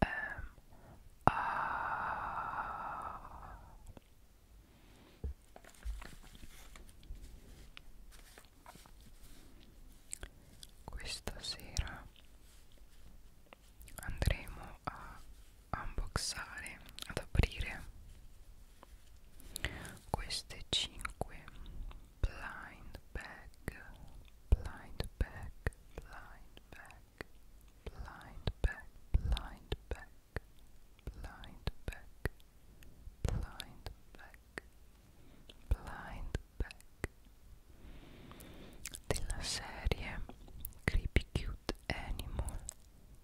M ehm, A ah, Questa sera andremo a unboxare, ad aprire queste 5 blind bag blind bag blind bag back, blind back, blind back, blind back, blind back, blind back della serie Creepy Cute Animal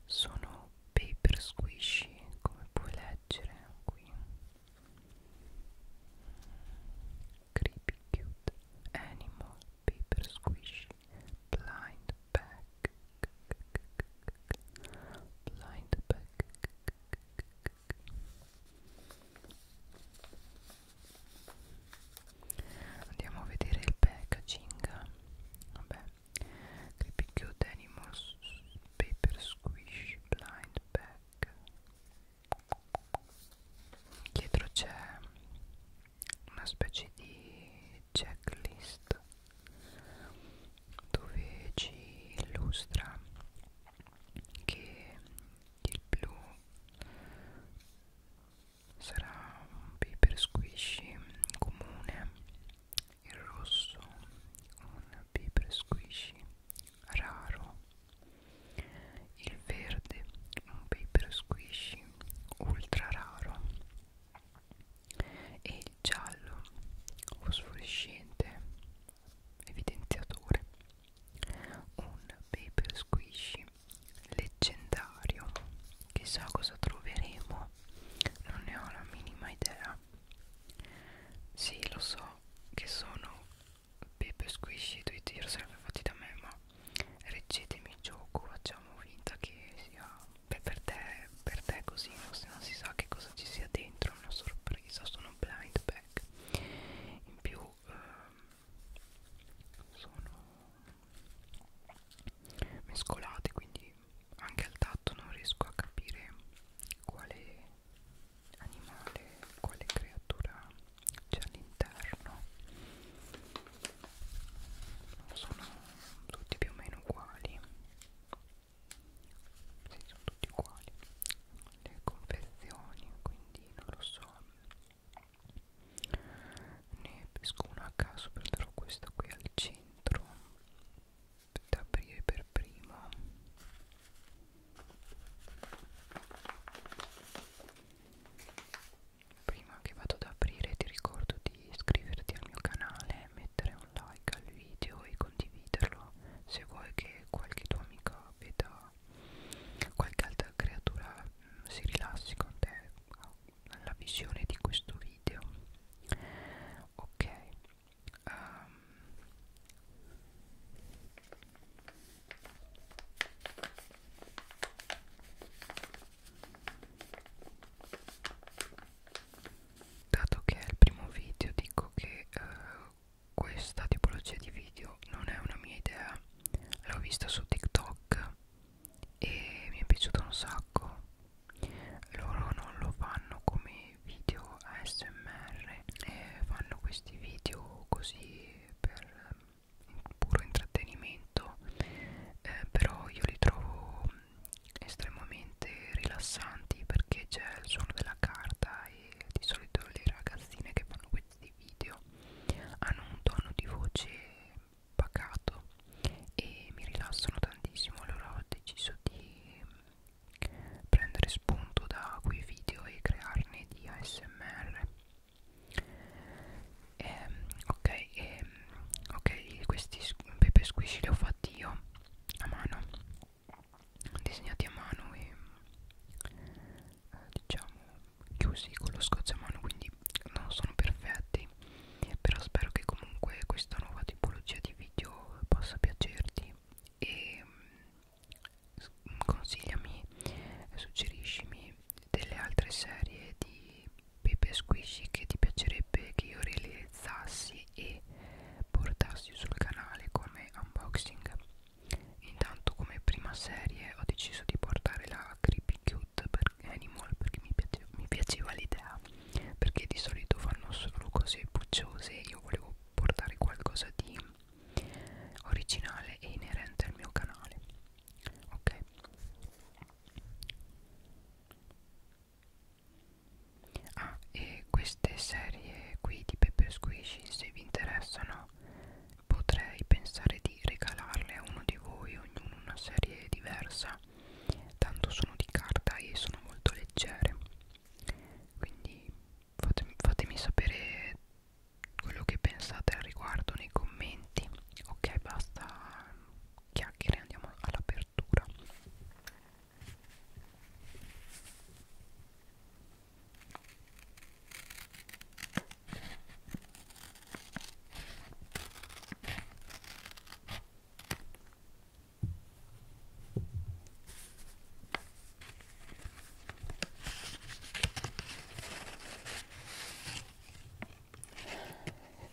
sono paper squishy come puoi leggere qui Creepy Cute Animal paper squishy, blind bag, blind bag. Andiamo a vedere il packaging. Vabbè, Creepy Cute Animals, Paper Squish, Blind Bag. Dietro c'è una specie di checklist dove ci illustra che il blu sarà un paper squishy comune il rosso un paper squishy raro il verde un paper squishy ultra raro e il giallo fosforescente evidenziatore un paper squishy leggendario chissà cosa troveremo non ne ho la minima idea sì lo so che sono paper squishy tutti yourself fatti da me ma reggetemi il gioco facciamo finta che sia beh, per te per te così no? se non si sa che cosa ci sia dentro è una sorpresa sono un blind bag in più ehm, sono mescolate quindi anche al tatto non riesco a capire quale animale quale creatura c'è all'interno sono tutti più o meno uguali sì, sono tutti uguali le confezioni quindi non lo so ne pesco una a caso prenderò questa qui al centro da aprire per prima prima che vado ad aprire ti ricordo di iscriverti al mio canale, mettere un like al video e condividerlo se vuoi che qualche tuo amico veda qualche altra creatura mh, mm, si rilassi con te alla visione di questo video ok um. Dato che è il primo video dico che eh, questa tipologia di video non è una mia idea, l'ho vista su TikTok e mi è piaciuta un sacco. Loro non lo fanno come video ASMR, eh, fanno questi video così per puro intrattenimento eh, però io li trovo estremamente rilassanti perché c'è il suono della carta e di solito le ragazzine che fanno questi video hanno un tono di voce pacato e mi rilassano tantissimo allora ho deciso di prendere spunto da quei video e crearne di ASMR ehm, ok, ehm, ok, questi pepe squishy li ho fatti io a mano, disegnati a mano e eh, diciamo chiusi con lo scotch a mano, quindi non sono perfetti, però spero che comunque questa nuova tipologia di video possa piacerti e ehm, consigliami, suggeriscimi delle altre serie di Pepe Squishy che ti piacerebbe che io realizzassi e portassi sul canale come unboxing intanto come prima serie ho deciso di portare la Creepy Cute per Animal perché mi piaceva, mi piaceva l'idea perché di solito fanno solo cose pucciose io volevo portare qualcosa di originale e inerente al mio canale ok ah e queste serie qui di Pepper Squishy se vi interessano potrei pensare di regalarle a uno di voi ognuno una serie diversa tanto sono di carta e sono molto leggere quindi fatemi, fatemi sapere quello che pensate al riguardo nei commenti ok basta chiacchiere andiamo all'apertura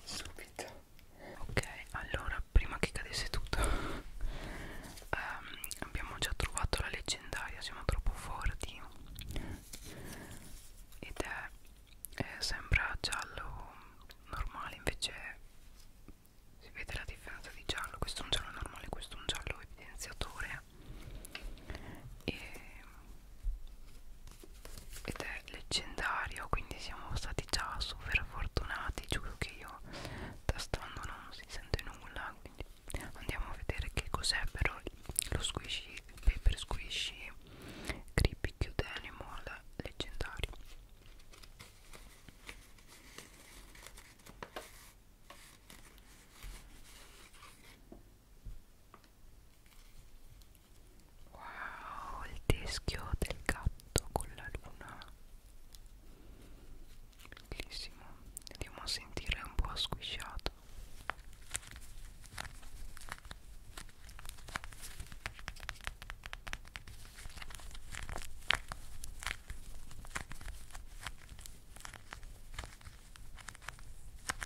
subito ok allora prima che cadesse tutto um, abbiamo già trovato la leggendaria siamo troppo forti ed è, è sembra giallo normale invece si vede la differenza di giallo questo è un giallo normale questo è un giallo evidenziatore e ed è leggendario quindi siamo stati già super fortunati giuro che io tastando non si sente nulla quindi andiamo a vedere che cos'è però lo squishy paper squishy creepy cute animal leggendario Wow, il teschio del gatto con la luna. Bellissimo. Andiamo a sentire un po' squisciato.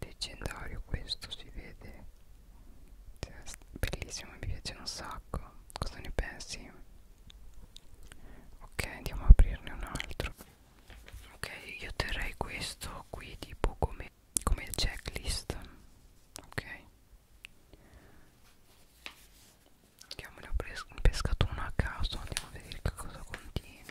leggendario questo si vede cioè, bellissimo mi piace un sacco cosa ne pensi ok andiamo a aprirne un altro ok io terrei questo qui tipo come come il checklist ok Andiamo ne ho pescato uno a caso, andiamo a vedere che cosa contiene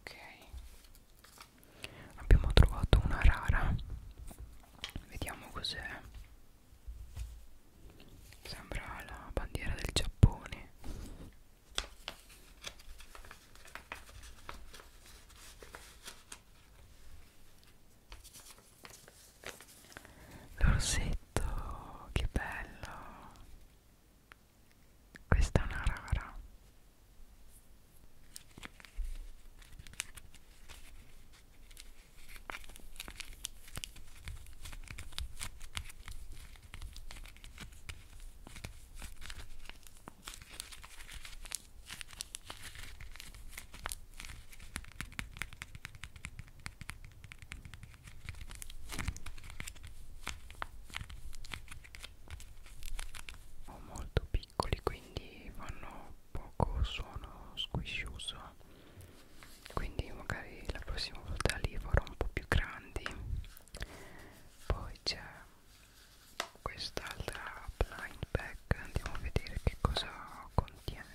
Ok, abbiamo trovato una rara. Vediamo cos'è. Sembra la bandiera del Giappone. L'orsetto, che bello! Questa è una rara sono molto piccoli quindi fanno poco suono squiscioso quindi magari la prossima volta li farò un po' più grandi poi c'è quest'altra blind bag andiamo a vedere che cosa contiene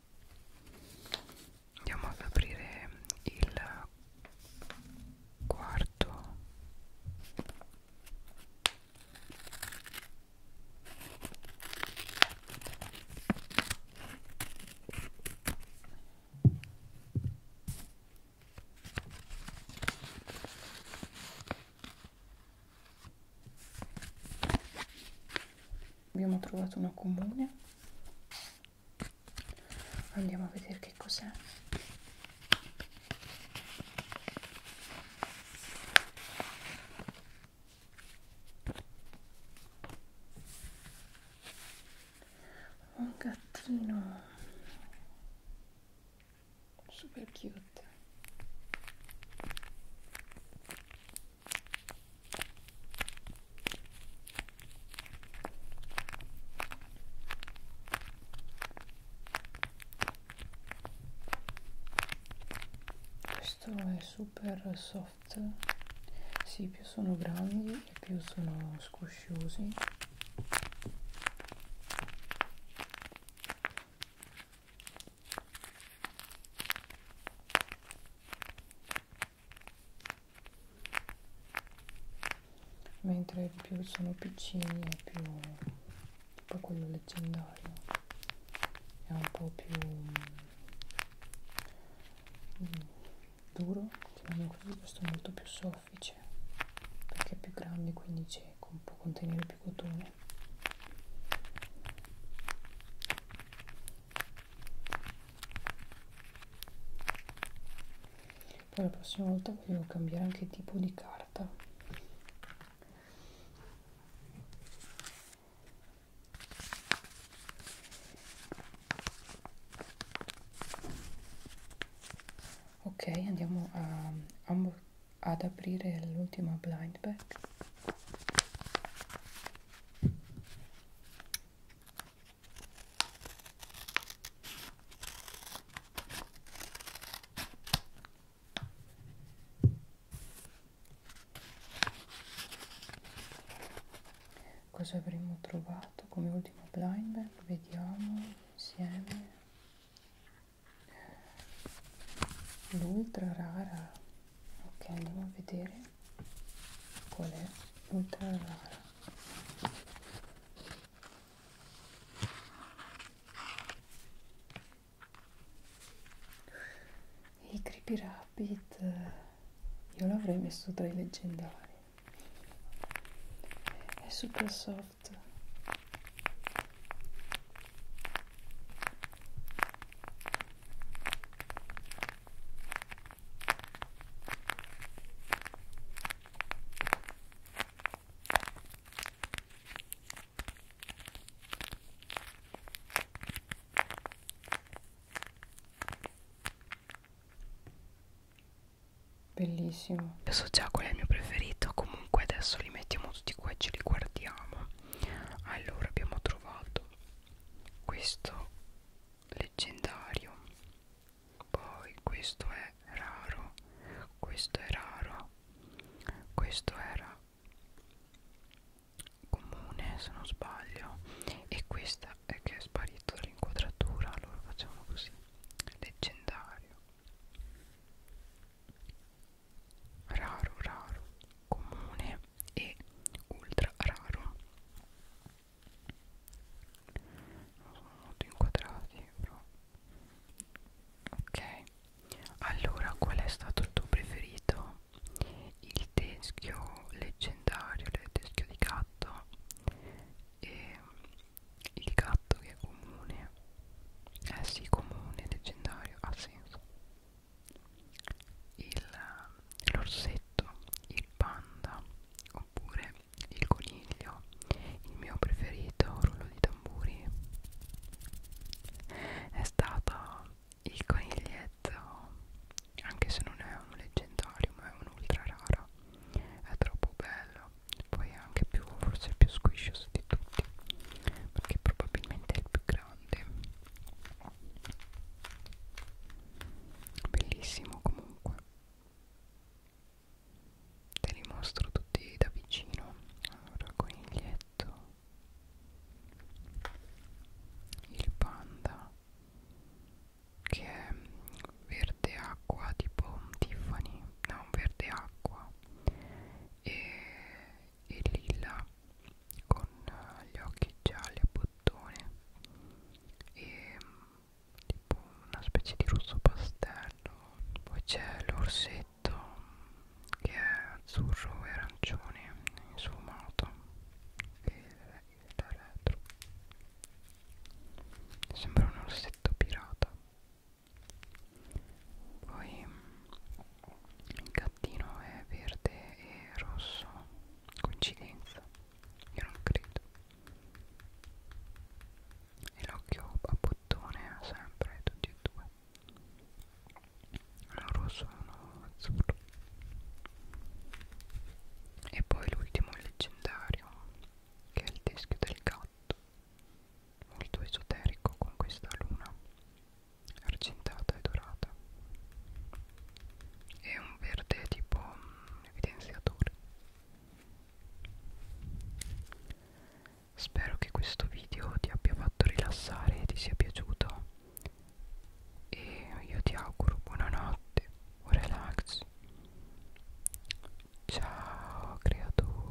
andiamo ad aprire il quarto abbiamo trovato una comune andiamo a vedere che cos'è un gattino super cute questo è super soft sì più sono grandi e più sono squosciosi mentre più sono piccini è più tipo quello leggendario è un po' più mm, duro chiamiamolo così questo è molto più soffice perché è più grande quindi cieco può contenere più cotone poi la prossima volta volevo cambiare anche tipo di carta ok andiamo a, ad aprire l'ultima blind bag Cosa avremmo trovato come ultimo blind bag? Vediamo insieme. L'ultra rara ok andiamo a vedere qual è ultra rara i creepy rabbit io l'avrei messo tra i leggendari è super soft Bellissimo. Io so già qual è il mio preferito, comunque adesso li mettiamo tutti qua e ce li guardiamo. Allora abbiamo trovato questo leggendario poi questo è raro questo è raro questo era comune se non sbaglio e questa è che è sparito dall'inquadratura allora facciamo così leggendario raro raro comune e ultra raro non sono molto inquadrati però ok allora qual è stato il tuo preferito il teschio leggendario il teschio di gatto e il gatto che è comune eh sì comune leggendario ha senso l'orsetto, il panda oppure il coniglio, il mio preferito rullo di tamburi è stato il coniglietto, anche se non è un leggendario ma è un ultra raro, è troppo bello, poi è anche più, forse il più squiscioso di tutti, perché probabilmente è il più grande bellissimo comunque te li mostro tutti da vicino allora coniglietto il panda che è verde acqua tipo Tiffany no verde acqua e e lilla con eh, gli occhi gialli a bottone e mm, tipo una specie di rosso pastello poi c'è l'orsetto mm, che è azzurro e arancione in suo moto e da retro sembra un orsetto pirata poi mm, il gattino è verde e rosso coincidenza io non credo e l'occhio a bottone sempre tutti e due uno rosso e uno azzurro e poi l'ultimo leggendario che è il teschio del gatto molto esoterico con questa luna argentata e dorata e un verde tipo um, evidenziatore spero che questo video ti abbia fatto rilassare e ti sia piaciuto e io ti auguro buonanotte o relax ciao creatura